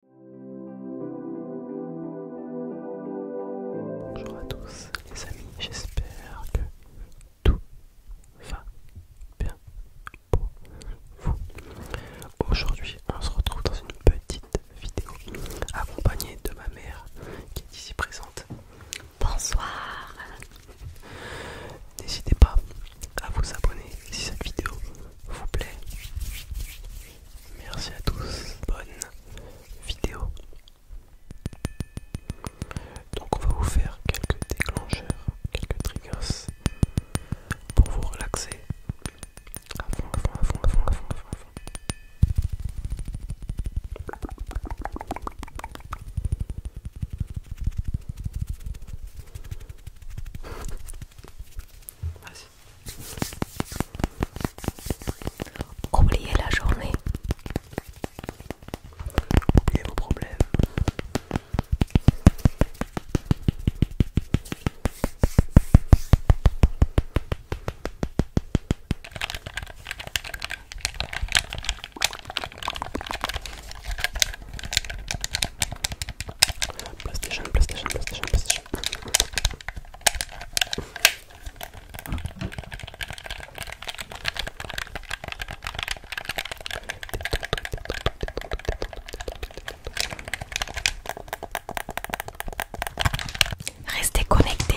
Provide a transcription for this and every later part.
Bonjour à tous les amis, j'espère que tout va bien pour vous. Aujourd'hui, on se retrouve dans une petite vidéo accompagnée de ma mère qui est ici présente. Bonsoir N'hésitez pas à vous abonner si cette vidéo vous plaît Merci à tous, bonne vidéo. Donc on va vous faire quelques déclencheurs, quelques triggers pour vous relaxer. À fond, à fond, à fond, à fond, Vas-y. Oubliez la journée. Oubliez vos problèmes. PlayStation, PlayStation, PlayStation, PlayStation. Restez connectés.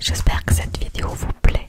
J'espère que cette vidéo vous plaît.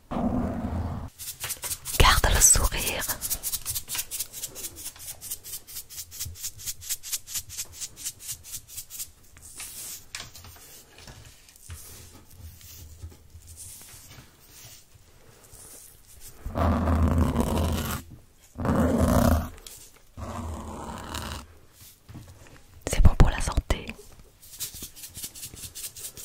Garde le sourire. C'est bon pour la santé.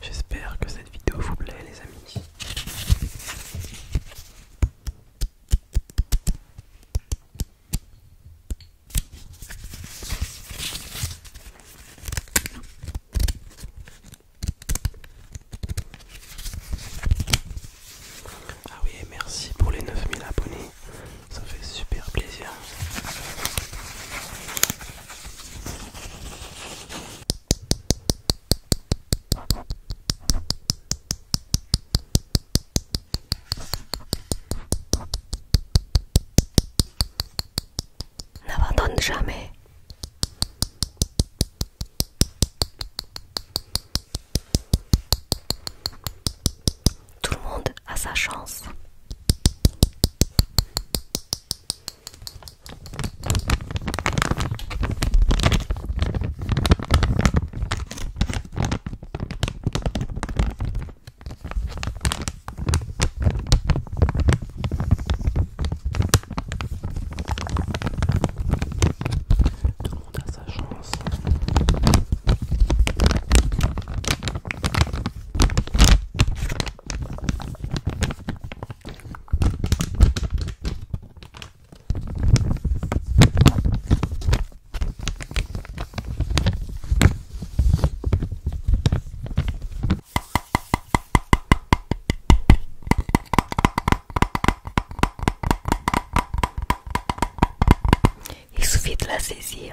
J'espère que cette vidéo vous plaît les amis. Ah oui, merci pour les 9000 abonnés, ça fait super plaisir. N'abandonne jamais. Tout le monde a sa chance. That's a sa chance. Il suffit de la saisir.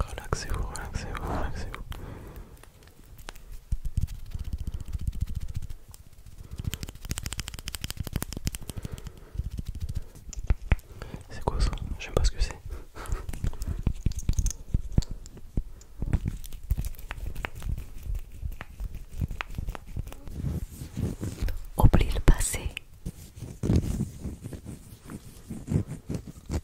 Relaxez-vous, relaxez-vous, relaxez-vous. C'est quoi ça Je sais pas ce que c'est. Oublie le passé.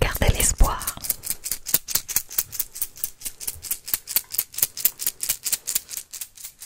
Gardez l'espoir.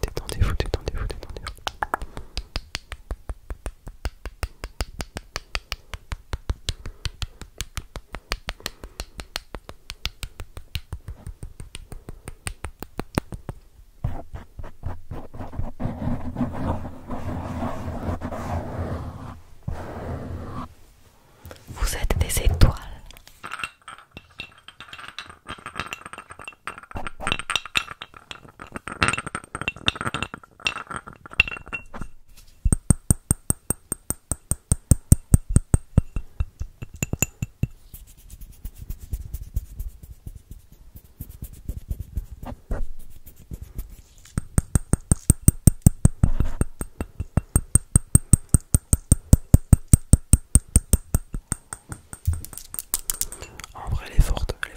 Détendez-vous, détendez-vous, détendez-vous. Vous êtes des étoiles. En vrai, elle est forte, elle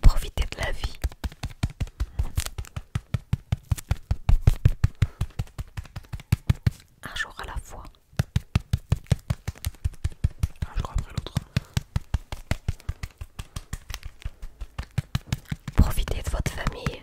Profitez de la vie. Un jour à la fois. Un jour après l'autre. Profitez de votre famille.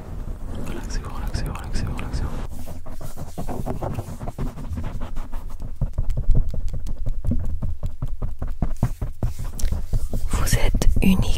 Relaxez-vous, relaxez-vous, relaxez-vous, relaxez-vous. Vous êtes unique.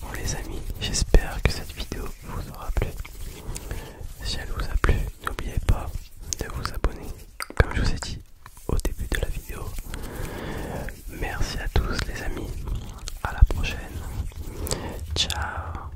Bon les amis, j'espère que cette vidéo vous aura plu. Si elle vous a plu, n'oubliez pas de vous abonner, comme je vous ai dit au début de la vidéo. Merci à tous les amis, à la prochaine. Ciao